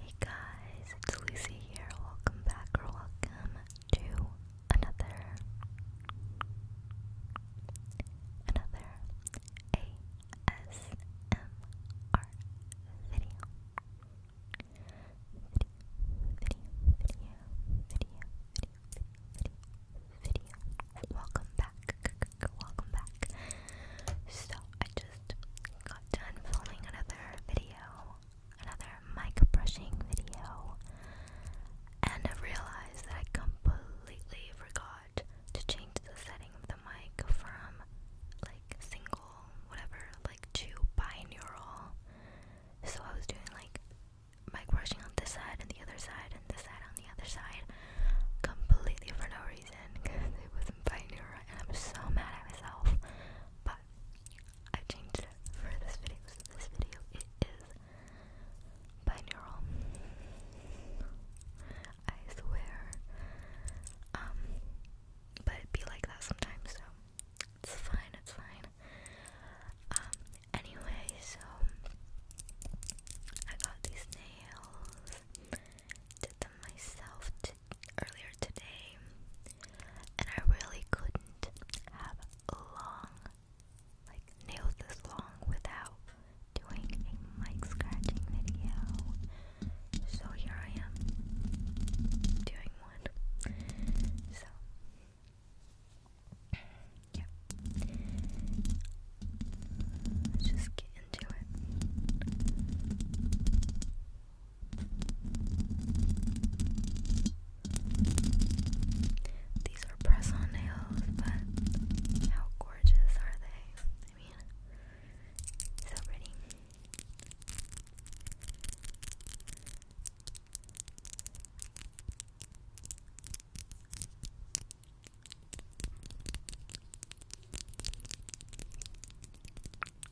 Hey guys, it's Lucy here. Welcome back or welcome to another another ASMR video. Video, video, video, video, video, video, video. Welcome back. Welcome back. So I just just got done filming another video, another mic brushing video, and I realized that I completely forgot to change the setting of the mic from like single, whatever, like to binaural. So I was doing like mic brushing on this side and the other side and this side on the other side completely for no because it wasn't biting and I'm so mad at myself. But I changed it for this video. this video it is binaural. I swear. Um but it be like that sometimes, so it's fine, it's fine. Um anyway, so I got these nails did them myself earlier today, and I really couldn't have long, like nails this long without doing a mic scratching video. So here I am doing one. So. Yep. Let's just get into it. These are press on nails, but how gorgeous are they? I mean, so pretty.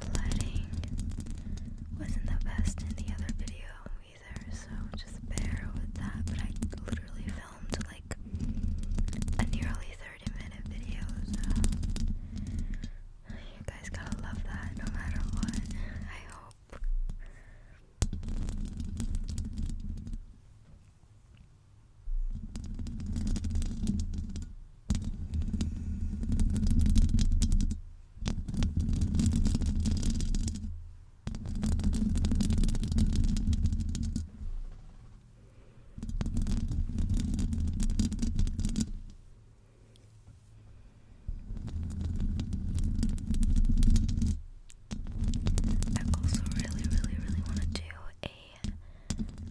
the lighting wasn't the best in the other video either, so just bear with that. But I literally filmed like a nearly 30 minute video, so you guys gotta love that no matter what. I hope. I also really, really, really want to do a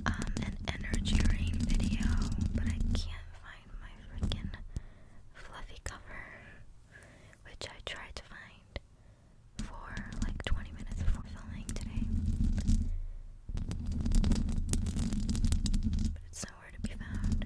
um, an energy rain video, but I can't find my freaking fluffy cover, which I tried to find for like 20 minutes before filming today. But it's nowhere to be found.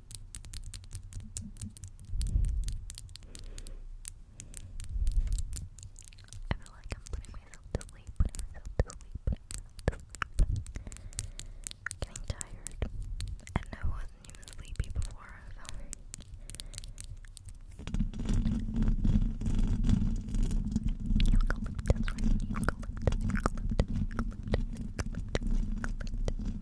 I feel like I'm putting myself to sleep, putting myself to sleep, Getting tired. And I wasn't even sleepy before, so. Eucalyptus, right? Eucalyptus, eucalyptus, eucalyptus, eucalyptus, eucalyptus,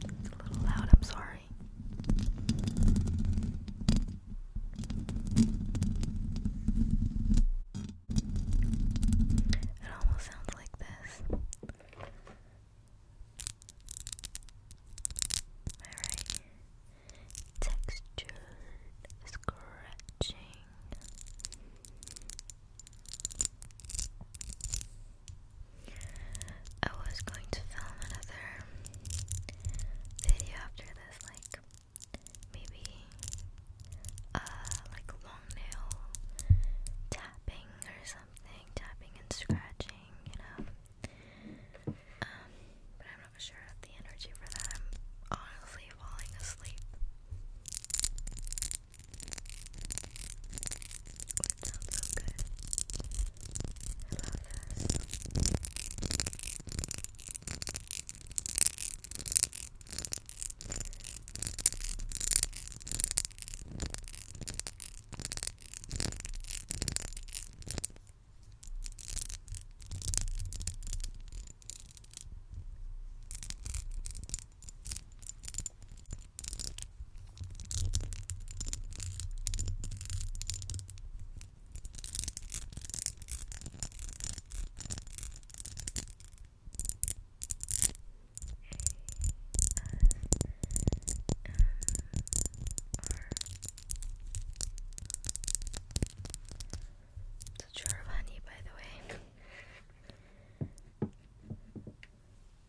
It's a little loud, I'm sorry. It almost sounds like this. Alright. Textured scratching. I was going to film another video after this, like maybe uh like long nail tapping or something, tapping and scratching, you know. Um, but I'm not sure the energy for that. I'm honestly falling asleep. It sounds so good. I love this. It's a jar of honey, by the way.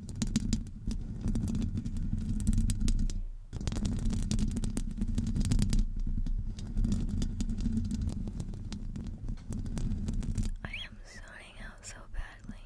I am zoning out so badly.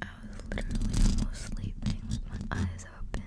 I was literally almost sleeping with my eyes open.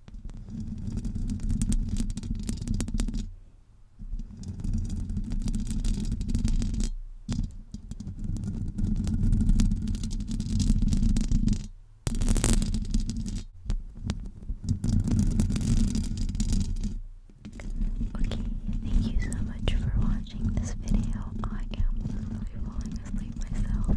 thank you so much for watching this video. I am literally falling asleep myself.